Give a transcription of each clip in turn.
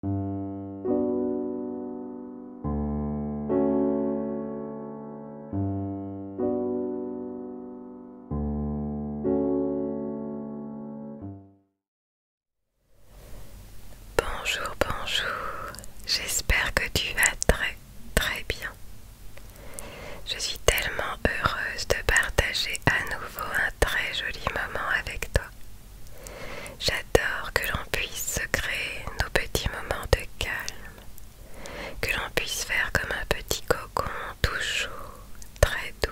Bonjour, bonjour, j'espère que tu vas très très bien. Je suis tellement heureuse de partager à nouveau un très joli moment avec toi. J'adore que l'on puisse créer nos petits moments de calme, que l'on puisse faire comme un petit cocon tout chaud, très doux,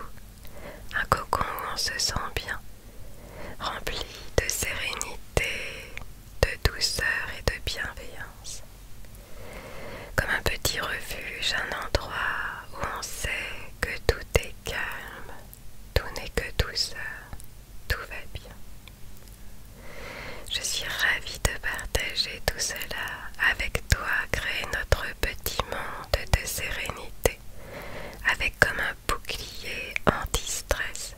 un cocon où on se sent bien, rempli de sérénité, de douceur et de bienveillance. Comme un petit refuge, un endroit où on sait que tout est calme, tout n'est que douceur, tout va bien. Je suis ravie de partager tout cela avec toi, créer notre petit monde de sérénité, avec comme un bouclier anti-stress,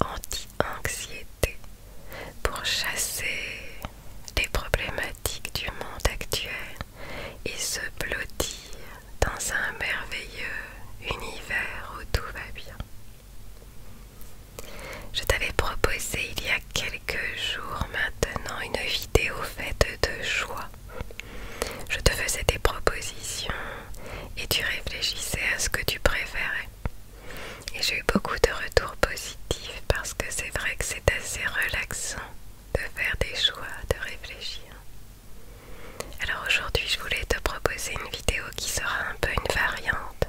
anti-anxiété, pour chasser les problématiques du monde actuel et se blottir dans un merveilleux univers où tout va bien. Je t'avais proposé il y a quelques jours maintenant une vidéo faite de choix. Je te faisais des propositions et tu réfléchissais à ce que tu préférais. Et j'ai eu beaucoup de retours positifs parce que c'est vrai que c'est assez relaxant de faire des choix, de réfléchir. Alors aujourd'hui je voulais te proposer une vidéo qui sera un peu une variante.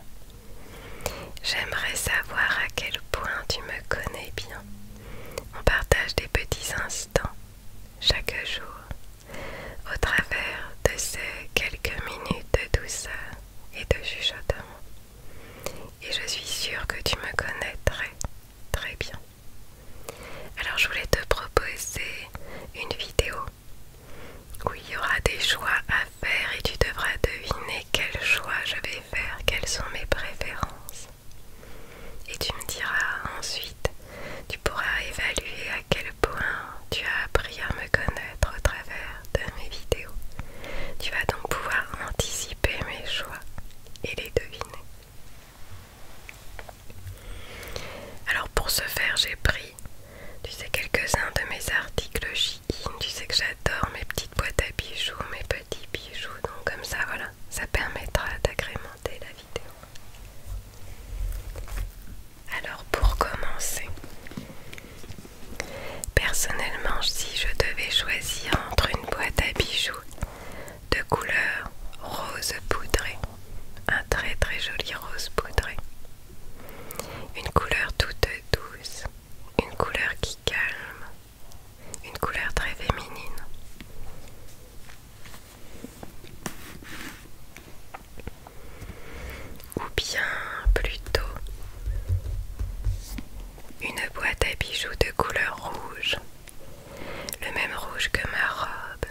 J'aimerais savoir à quel point tu me connais bien. On partage des petits instants chaque jour au travers de ces quelques minutes de douceur et de chuchotement. Et je suis sûre que tu me connais très bien. Alors je voulais te proposer une vidéo où il y aura des choix à faire et tu devras deviner quel choix je vais faire, quelles sont mes préférences. Et tu me diras ensuite, tu pourras évaluer à quel point tu as appris à me connaître au travers de mes vidéos. Tu vas donc pouvoir anticiper mes choix et les deviner. Alors pour ce faire j'ai pris tu sais quelques-uns de mes articles Shein, tu sais que j'adore mes petites boîtes à bijoux, mes petits bijoux, donc comme ça voilà, ça permettra d'agrémenter la vidéo. Alors pour commencer, personnellement si je devais choisir entre une boîte à bijoux de couleur rose poudrée, un très très joli rose poudré. Une couleur toute douce, une couleur qui calme, une couleur très féminine. Ou bien plutôt une boîte à bijoux de couleur rouge le même rouge que ma robe,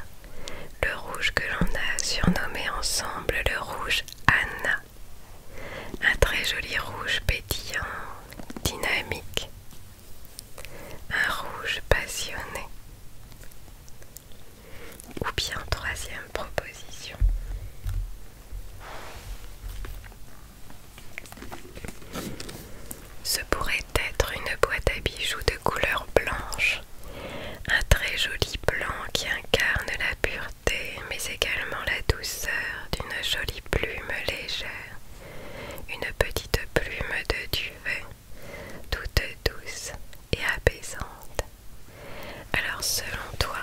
le rouge que l'on a surnommé ensemble le rouge Anna. Un très joli rouge pétillant, dynamique, un rouge passionné. Ou bien troisième proposition. Ce pourrait être une boîte à bijoux de couleur blanche, un très joli blanc qui incarne la pureté mais également la douceur d'une jolie plume légère, une petite plume de duvet, toute douce et apaisante. Alors selon toi,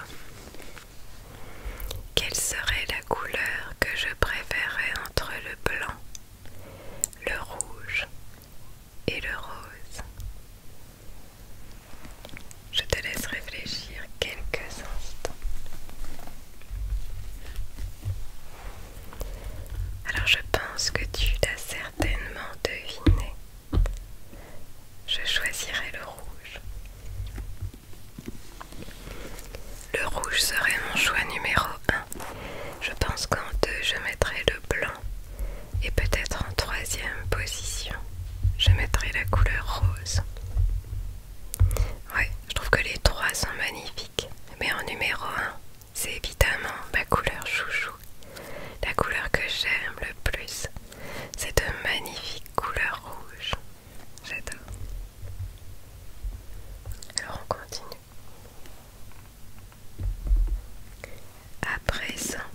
quelle serait la couleur que je préférais entre le blanc, le rouge et le rose. Je te laisse réfléchir quelques instants. Alors je pense que tu l'as certainement deviné. Je choisirai le rouge. Le rouge serait mon choix numéro je pense qu'en deux, je mettrai le blanc. Et peut-être en troisième position, je mettrai la couleur rose. Ouais, je trouve que les trois sont magnifiques. Mais en numéro un, c'est évidemment ma couleur chouchou. La couleur que j'aime le plus. C'est de magnifique couleur rouge. J'adore. Alors on continue. À présent,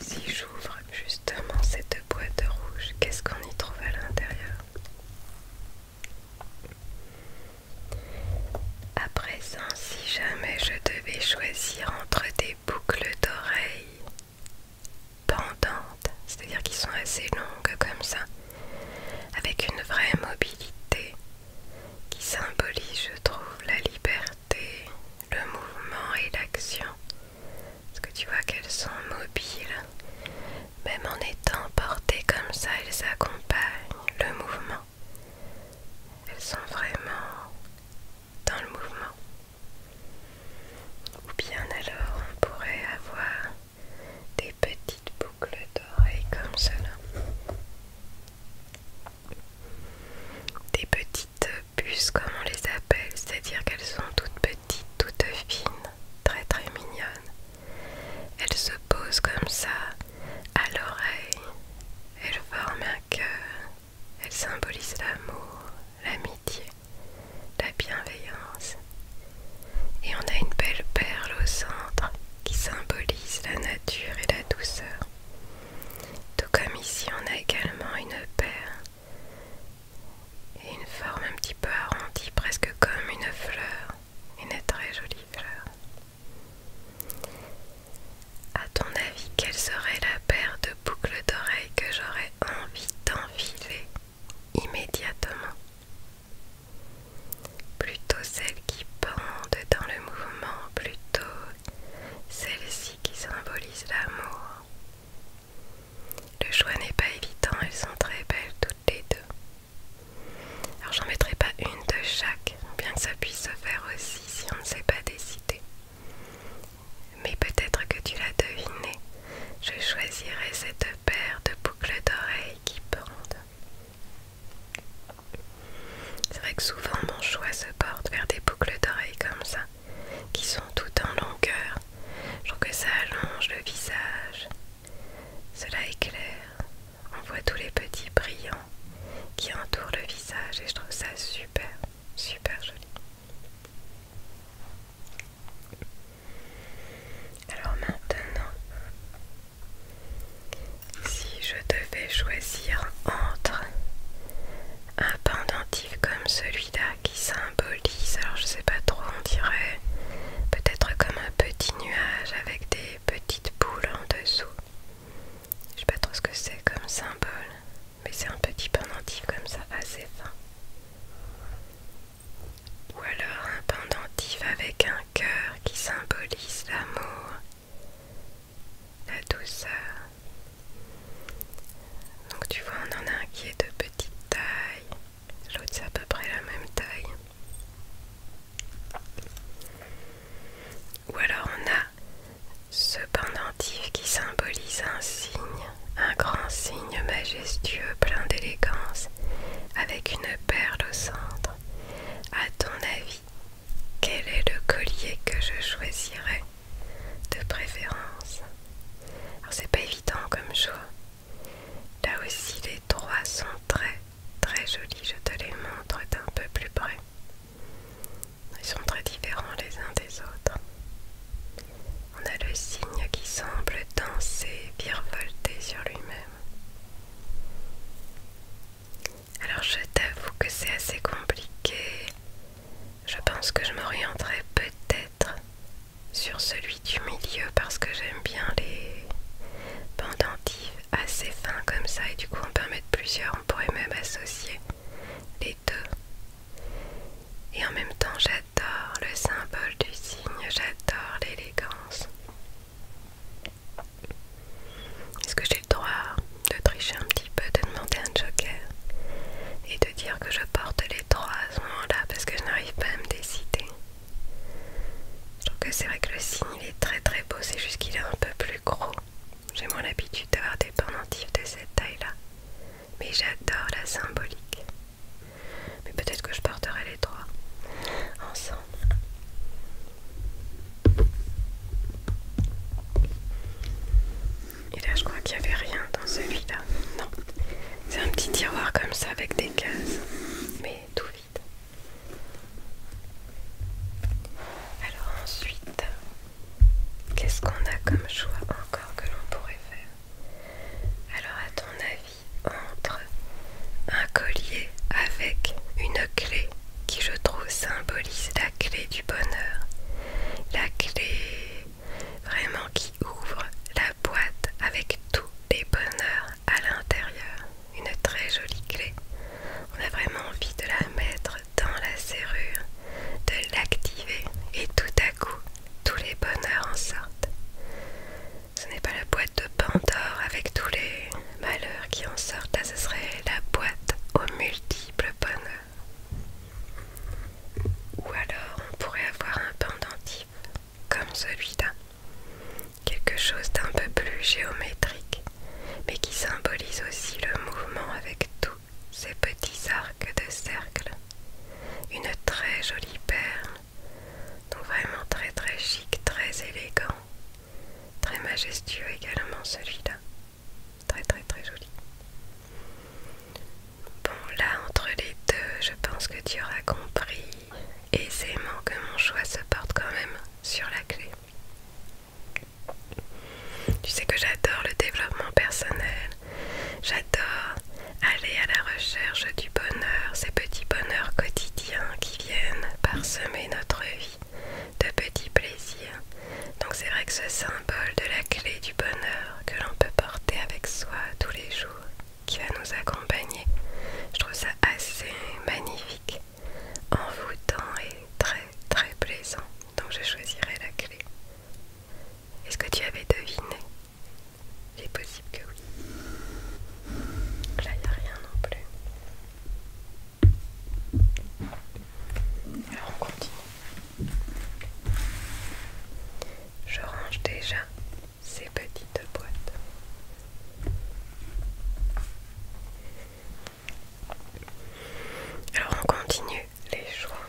si j'ouvre justement cette boîte rouge, qu'est-ce qu'on y trouve à l'intérieur À présent, si jamais je devais choisir entre des boucles d'oreilles pendantes, c'est-à-dire qui sont assez longues comme ça, avec une vraie mobilité, qui symbolise, je trouve, la liberté, le mouvement et l'action. Parce que tu vois qu'elles sont mobiles, même en étant portées comme ça, elles accompagnent le mouvement. Elles sont vraiment dans le mouvement. Ou bien alors on pourrait avoir des petits des boucle d'oreilles comme cela. Des petites puces comme on les appelle, c'est-à-dire qu'elles sont toutes petites, toutes fines, très très mignonnes. Elles se posent comme ça à l'oreille, elles forment un cœur, elles symbolisent l'amour, l'amitié, la bienveillance. Et on a une belle perle au centre qui symbolise la nature et la douceur. Tout comme ici, on a également une paire et une forme un petit peu arrondie, presque comme une fleur, une très jolie fleur. À ton avis, quelle serait la paire de boucles d'oreilles que j'aurais envie d'enfiler immédiatement plutôt celles qui pendent dans le mouvement, plutôt celles-ci qui symbolisent l'amour. Le choix n'est pas évident, elles sont très belles toutes les deux. Alors j'en mettrai pas une de chaque, bien que ça puisse se faire aussi si on ne sait pas décider. Mais peut-être que tu l'as deviné, je choisirai cette paire de boucles d'oreilles qui pendent. C'est vrai que souvent mon choix se porte vers des boucles d'oreilles comme ça, qui sont tout en longueur. Je trouve que ça allonge le visage. Cela éclaire. On voit tous les petits brillants qui entourent le visage et je trouve ça super, super joli. Alors maintenant, si je devais choisir entre un pendentif comme celui-là qui symbolise, alors je sais pas trop, on dirait peut-être comme un petit nuage avec des petites boules en dessous. Je sais pas trop ce que c'est comme symbole, mais c'est un petit pendentif comme ça, assez fin. Ou alors un pendentif avec un cœur qui symbolise l'amour, la douceur. Donc tu vois, on en a un qui est de petite taille, l'autre c'est à peu près la même taille. Ou alors on a ce pendentif qui symbolise un signe, un grand signe majestueux plein d'élégance, avec une perle au centre. À ton avis, quel est le collier que je choisirais de préférence Alors c'est pas évident comme choix. Là aussi les trois sont très très jolis, je te les montre d'un peu plus près. Ils sont très différents les uns des autres. On a le signe qui semble danser, virevolter sur lui-même. Alors je t'avoue que c'est assez compliqué. Je pense que je m'orienterai peut-être sur celui du milieu parce que j'aime bien les pendentifs assez fins comme ça et du coup on peut en mettre plusieurs, on pourrait même associer les deux. Et en même temps j'adore le symbole du signe, j'adore l'élégance. Est-ce que j'ai le droit de tricher un petit peu, de demander un joker et de dire que je porte les trois à ce moment-là parce que je n'arrive pas à me décider Je trouve que c'est vrai que le signe il est très très beau, c'est juste qu'il est un peu plus gros. J'ai moins l'habitude d'avoir des pendentifs de cette taille-là, mais j'adore la symbolique. Mais peut-être que je porterai les trois ensemble. Et là, je crois qu'il n'y avait rien dans celui-là. Non, c'est un petit tiroir comme ça avec des cases, mais tout vide. Alors ensuite, qu'est-ce qu'on a comme choix encore que l'on pourrait faire Alors à ton avis entre un collier avec une clé qui je trouve symbolise la clé du bonheur, la clé vraiment qui ouvre la boîte avec tous les bonheurs à l'intérieur, une très jolie clé. On a vraiment envie de la mettre dans la serrure, de l'activer et tout à coup tous les bonheurs en sortent. Ce n'est pas la boîte de Pandore avec tous les malheurs qui en sortent, là ah, ce serait la boîte aux multiples bonheurs. Ou alors on pourrait avoir un pendentif comme celui-là, quelque chose d'un peu plus géométrique, mais qui symbolise aussi le mouvement avec tous ces petits arcs de cercle. Une très jolie perle, donc vraiment très très chic, très élégant. Très majestueux également celui-là. Très très très joli. Bon là entre les deux je pense que tu auras compris aisément que mon choix se porte quand même sur la clé. Tu sais que j'adore le développement personnel, j'adore aller à la recherche du bonheur, ces petits bonheurs quotidiens qui viennent parsemer notre vie de petits plaisirs. Donc c'est vrai que ce symbole de la clé du bonheur que l'on peut porter avec soi tous les jours, qui va nous accompagner, je trouve ça assez magnifique, envoûtant et très très plaisant. Donc je choisirai la clé. Est-ce que tu avais deviné Il est possible que oui. Là, il a rien non plus. Alors, on continue. Je range déjà ces petites boîtes. Alors on continue les choix.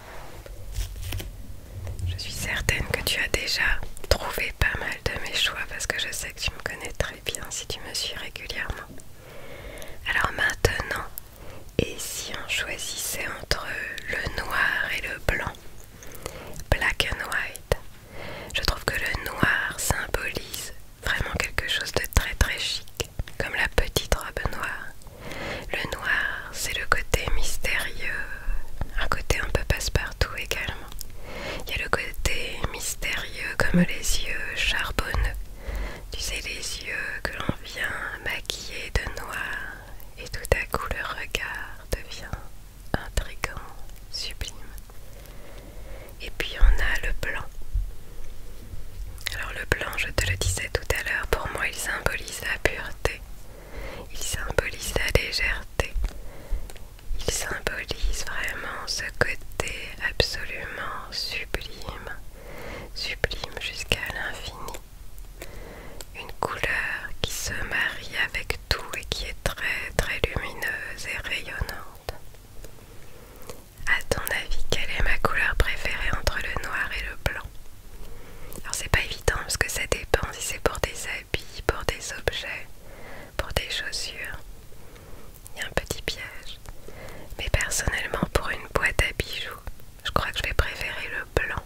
Je suis certaine que tu as déjà trouvé pas mal de mes choix parce que je sais tu me connais très bien si tu me suis régulièrement. Alors maintenant, et si on choisissait entre le noir et le blanc Black and white. Je trouve que le noir symbolise vraiment quelque chose de très très chic, comme la petite robe noire. Le noir, c'est le côté mystérieux, un côté un peu passe-partout également. Il y a le côté mystérieux comme les yeux charbonneux. Tu sais, les yeux que l'on vient maquiller de noir et tout à coup le regard devient intrigant, sublime. Et puis on a le blanc. Alors le blanc, je te le disais tout à l'heure, pour moi il symbolise la pureté, il symbolise la légèreté, il symbolise vraiment ce côté absolument sublime, sublime jusqu'à l'infini. Une couleur qui se marie avec tout et qui est très très lumineuse et rayonnante. A ton avis, quelle est ma couleur préférée entre le noir et le blanc Alors c'est pas évident parce que ça dépend si c'est pour des pour des objets, pour des chaussures. Il y a un petit piège. Mais personnellement, pour une boîte à bijoux, je crois que je vais préférer le blanc.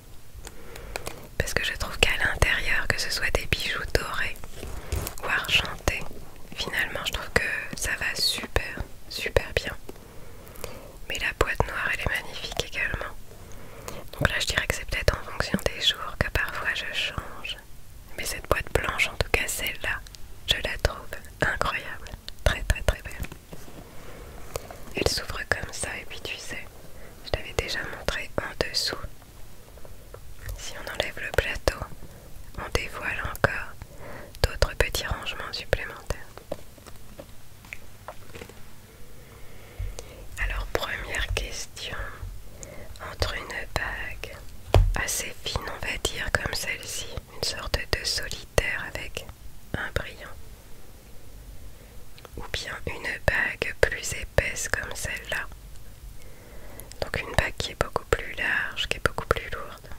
Parce que je trouve qu'à l'intérieur, que ce soit des bijoux dorés ou argentés, finalement, je trouve que ça va super, super bien. Mais la boîte noire, elle est magnifique également. Donc là, je dirais que c'est peut-être en fonction des jours que parfois je change mais cette boîte blanche, en tout cas celle-là, je la trouve incroyable. Très très très belle. Elle s'ouvre comme ça et puis tu sais, je l'avais déjà montré en dessous. Si on enlève le plateau, on dévoile encore d'autres petits rangements supplémentaires. Alors première question, entre une bague assez fine, on va dire, comme celle-ci, une sorte de solitaire avec un brillant, ou bien une bague plus épaisse comme celle-là. Donc une bague qui est beaucoup plus large, qui est beaucoup plus lourde,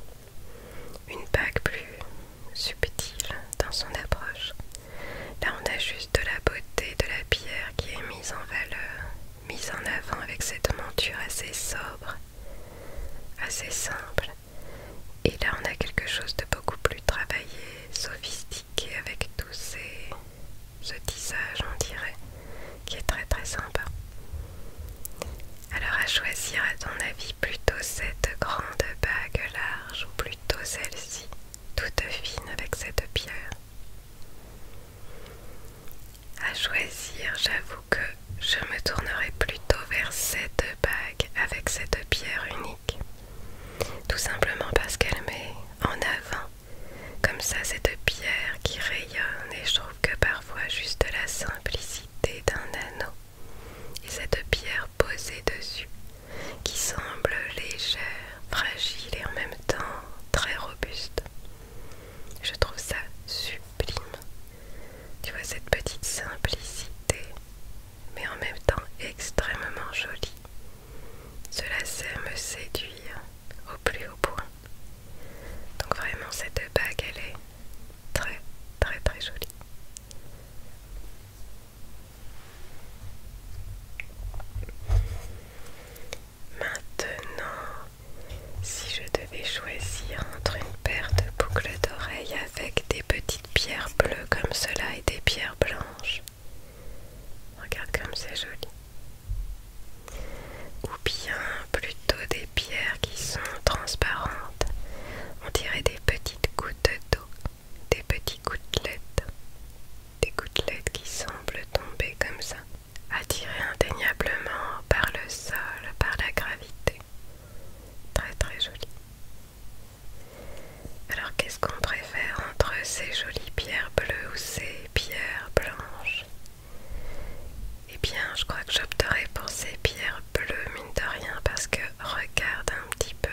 une bague plus subtile dans son approche. Là on a juste de la beauté de la pierre qui est mise en valeur mise en avant avec cette monture assez sobre, assez simple. Et là, on a quelque chose de beaucoup plus travaillé, sophistiqué avec tout ce tissage, on dirait, qui est très très sympa. Alors à choisir à ton avis plutôt cette grande bague large ou plutôt celle-ci, toute fine avec cette pierre à choisir, j'avoue que je me tournerai plutôt vers cette bague avec cette pierre unique. Tout simplement parce qu'elle met en avant comme ça cette pierre qui rayonne et je trouve que parfois juste la simplicité d'un anneau et cette pierre posée dessus qui semble légère, fragile et en même temps très robuste. Je trouve ça sublime. Tu vois cette petite simplicité, mais en même temps extrêmement jolie. Cela sait me séduire au plus haut point. Donc vraiment cette bague, elle est très très très jolie. Maintenant, si je devais choisir entre une paire de boucles d'oreilles avec des petites pierres bleues comme cela et des pierres blanches, regarde comme c'est joli, ou bien plutôt des pierres qui sont transparentes, on dirait des petites gouttes d'eau, des petites gouttelettes, des gouttelettes qui semblent tomber comme ça attiré indéniablement par le sol, par la gravité. Très très joli. Alors qu'est-ce qu'on préfère entre ces jolies pierres bleues ou ces pierres blanches Eh bien, je crois que j'opterai pour ces pierres bleues, mine de rien, parce que regarde un petit peu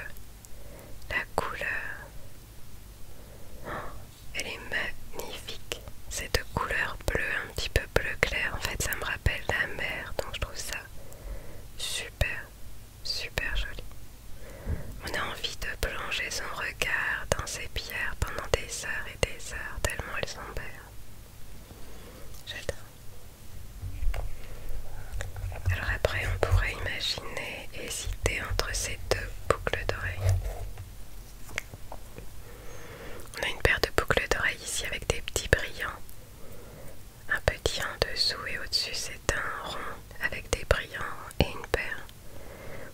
la couleur. Elle est magnifique. C'est de couleur bleue, un petit peu bleu clair, en fait ça me rappelle la mer, donc je trouve ça super, super joli. On a envie de plonger son regard dans ces pierres pendant des heures et des heures, tellement elles sont belles. J'adore. Alors après on pourrait imaginer hésiter entre ces deux boucles d'oreilles. On a une paire de boucles d'oreilles ici avec des petits brillants. Un petit en dessous et au-dessus c'est un rond avec des brillants et une perle,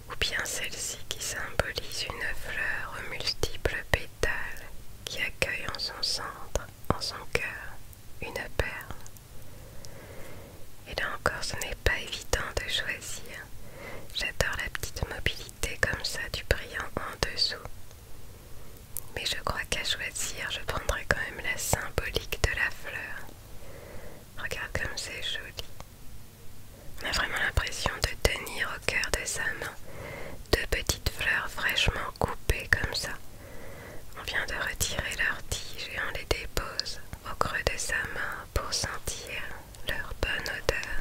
Ou bien celle-ci qui symbolise une fleur aux multiples pétales qui accueille en son centre, en son cœur, une perle. Et là encore, ce n'est pas évident de choisir. J'adore la petite mobilité comme ça du brillant en dessous. Mais je crois qu'à choisir, je prendrai quand même la symbolique de la fleur. Regarde comme c'est joli. On a vraiment l'impression de tenir au cœur de sa main deux petites fleurs fraîchement coupées comme ça. On vient de retirer leurs tiges et on les dépose au creux de sa main pour sentir leur bonne odeur,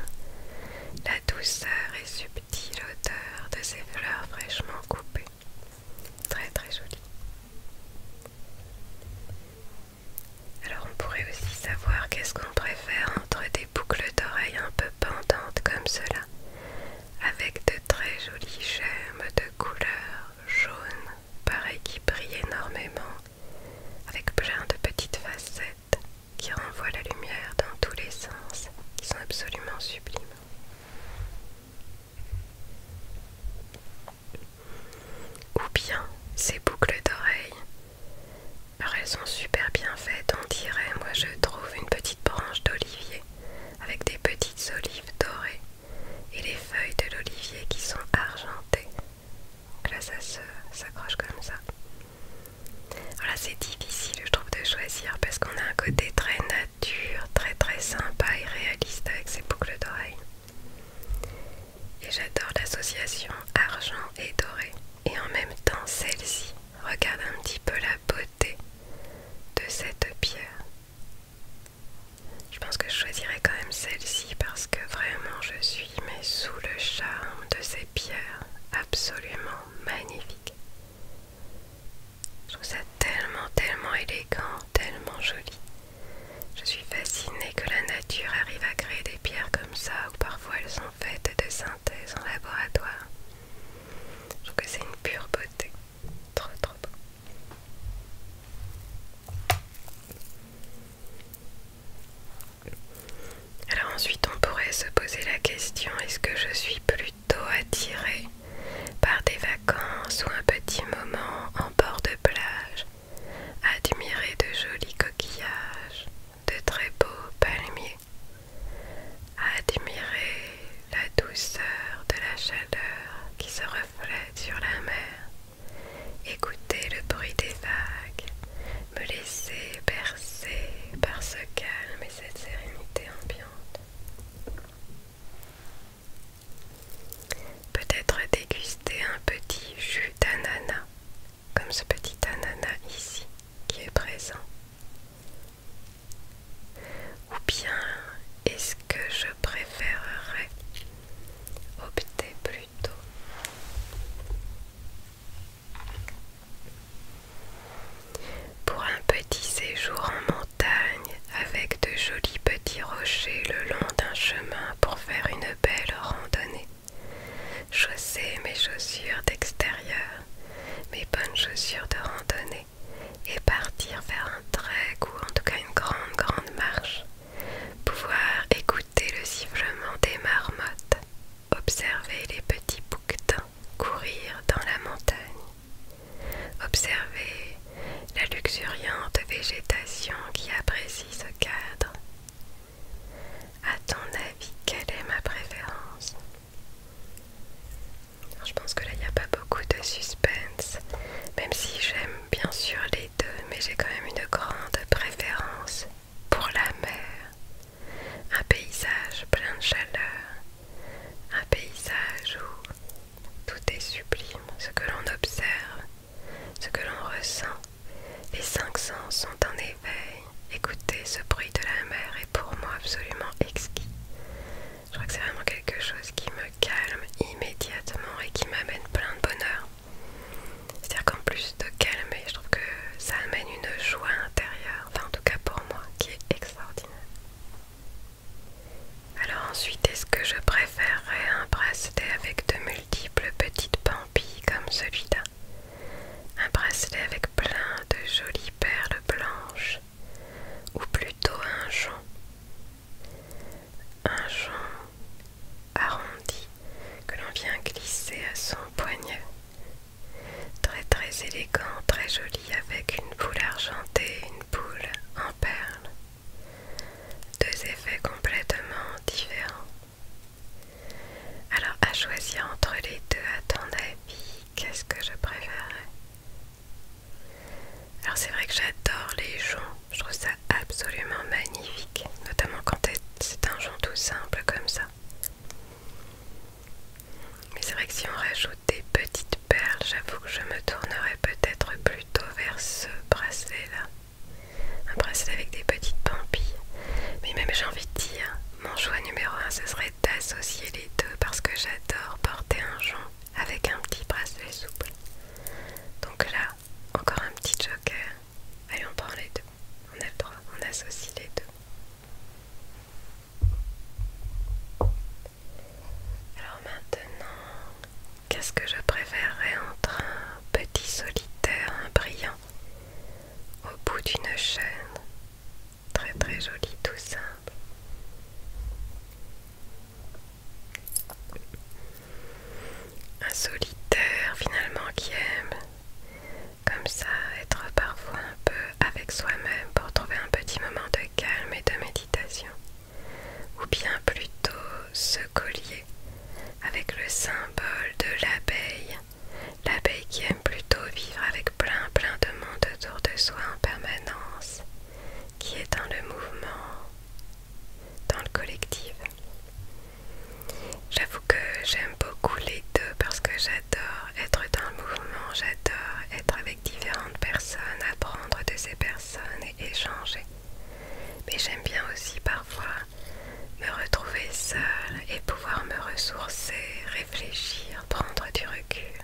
la douceur et subtile odeur de ces fleurs fraîchement coupées. Très très jolie. Alors on pourrait aussi savoir qu'est-ce qu'on préfère entre des boucles d'oreilles un peu pendantes comme cela, avec de très jolies gemmes de couleur jaune, pareil qui brillent énormément avec plein de petites facettes qui renvoient la lumière dans tous les sens, qui sont absolument sublimes. Ou bien ces boucles d'oreilles. elles sont super bien faites, on dirait, moi je trouve une petite branche d'olivier avec des petites olives dorées et les feuilles de l'olivier qui sont argentées donc là ça s'accroche comme ça. Voilà c'est difficile je trouve de choisir parce qu'on a un côté très nature, très très sympa et réaliste avec ces boucles d'oreilles. Et j'adore l'association argent et doré. Et en même temps celle-ci. Regarde un petit peu la beauté de cette pierre. Je pense que je choisirais quand même celle-ci parce que vraiment je suis mais sous le charme de ces pierres absolument magnifiques. Je trouve ça tellement, tellement élégant, tellement joli. Je suis fascinée que la nature arrive à créer des pierres comme ça, où parfois elles sont faites de synthèse en laboratoire. Je trouve que c'est une pure beauté. Trop, trop beau. Alors ensuite on pourrait se poser la question, est-ce que je suis plutôt attirée par des vacances ou un petit moment en bord de plage, admirer de jolis coquillages, de très beaux palmiers, admirer la douceur de la chaleur qui se reflète sur la mer, écouter le bruit des vagues, me laisser bercer par ce calme et cette sérénité ambiante. Peut-être déguster un petit jus d'ananas, comme ce petit ananas ici qui est présent. Ou bien est-ce que je préférerais opter plutôt pour un petit séjour en montagne avec de jolis petits rochers le long d'un chemin pour faire une belle randonnée. chausser mes chaussures d'extérieur, mes bonnes chaussures de randonnée et partir vers un trek ou en tout cas une grande grande marche. Pouvoir écouter Écouter le sifflement des marmottes, observez les petits bouquetins courir dans la montagne, observez la luxuriante végétation qui apprécie ce cadre. À ton avis, quelle est ma préférence Je pense que là, il n'y a pas beaucoup de suspense, même si j'aime bien sûr les deux, mais j'ai quand même une grande préférence pour la mer, un paysage plein de chaleur, un paysage où tout est sublime, ce que l'on observe, ce que l'on ressent. Les cinq sens sont en éveil. écoutez ce bruit de la mer est pour moi absolument exquis. Je crois que c'est vraiment quelque chose qui me calme immédiatement et qui m'amène plein de bonheur. C'est-à-dire qu'en plus de calmer, je trouve que ça amène une joie intérieure, enfin en tout cas pour moi, qui est extraordinaire. Alors ensuite, est-ce que je préférerais un bracelet avec de multiples petites pampilles comme celui-là Un bracelet avec plein de jolies perles blanches ou plutôt un jonc Un jonc arrondi que l'on vient glisser à son poignet. Très très élégant, très joli avec une boule argentée une boule en perles. Deux effets complètement différents. Alors à choisir entre les deux, à ton avis, qu'est-ce que je préférerais alors c'est vrai que j'adore les joncs je trouve ça absolument magnifique, notamment quand c'est un jonc tout simple comme ça. Mais c'est vrai que si on rajoute des petites perles, j'avoue que je me tournerai peut-être plutôt vers ce bracelet-là. Un bracelet avec des petites pampilles. Mais même j'ai envie de dire, mon choix numéro 1, ce serait d'associer les deux parce que j'adore porter un jonc avec un petit bracelet souple. Donc là, encore un petit joker. Allez, on prend les deux. On droit, on associe les deux. Alors maintenant, qu'est-ce que je préférerais entre un petit solitaire, un brillant, au bout d'une chaîne Très très jolie, tout simple un solitaire finalement qui aime comme ça être parfois un peu avec soi-même pour trouver un petit moment de calme et de méditation, ou bien plutôt ce collier avec le symbole de l'abeille, l'abeille qui aime plutôt vivre avec plein plein de monde autour de soi en permanence, qui est dans le mouvement dans le collectif. J'avoue que j'aime beaucoup les deux parce que j'adore être dans le mouvement, j'adore être avec différentes personnes, apprendre de ces personnes et échanger. Mais j'aime bien aussi parfois me retrouver seule et pouvoir me ressourcer, réfléchir, prendre du recul.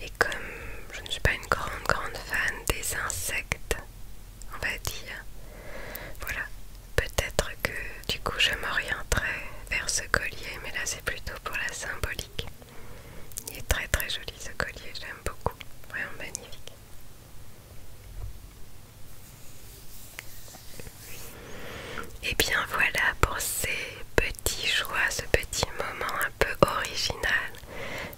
Et comme je ne suis pas une grande, grande fan des insectes, on va dire. Voilà, peut-être que du coup je m'orienterai vers ce collier, mais là c'est plutôt pour la symbolique. Il est très très joli ce collier, j'aime beaucoup, vraiment magnifique. Et eh bien voilà pour ces petits choix, ce petit moment un peu original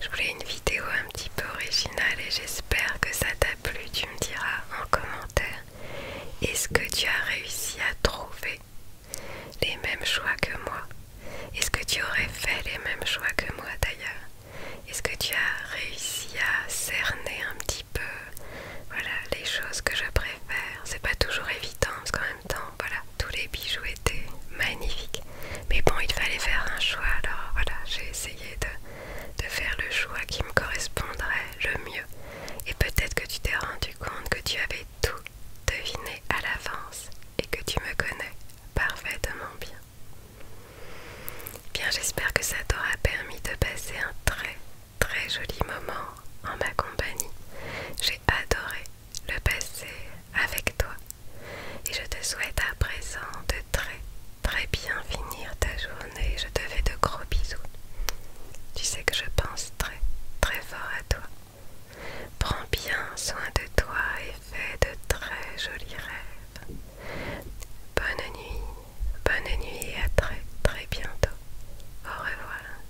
je voulais une vidéo un petit peu originale et j'espère que ça t'a plu. Tu me diras en commentaire est-ce que tu as réussi à trouver les mêmes choix que moi Est-ce que tu aurais fait les mêmes choix que moi d'ailleurs Est-ce que tu as réussi à cerner un petit peu voilà, les choses que je préfère C'est pas toujours évident parce qu'en même temps, voilà, tous les bijoux étaient magnifiques. Mais bon, il fallait faire un choix alors voilà, j'ai essayé de de faire le choix qui me correspondrait le mieux. Et peut-être que tu t'es rendu compte que tu avais tout deviné à l'avance et que tu me connais parfaitement bien. Bien, j'espère que ça t'aura permis de passer un très très joli moment en ma compagnie. J'ai adoré le passer avec toi. Et je te souhaite à présent de très très bien finir ta journée. Je te fais de gros bisous. Tu sais que je pense très très fort à toi. Prends bien soin de toi et fais de très jolis rêves. Bonne nuit, bonne nuit et à très très bientôt. Au revoir.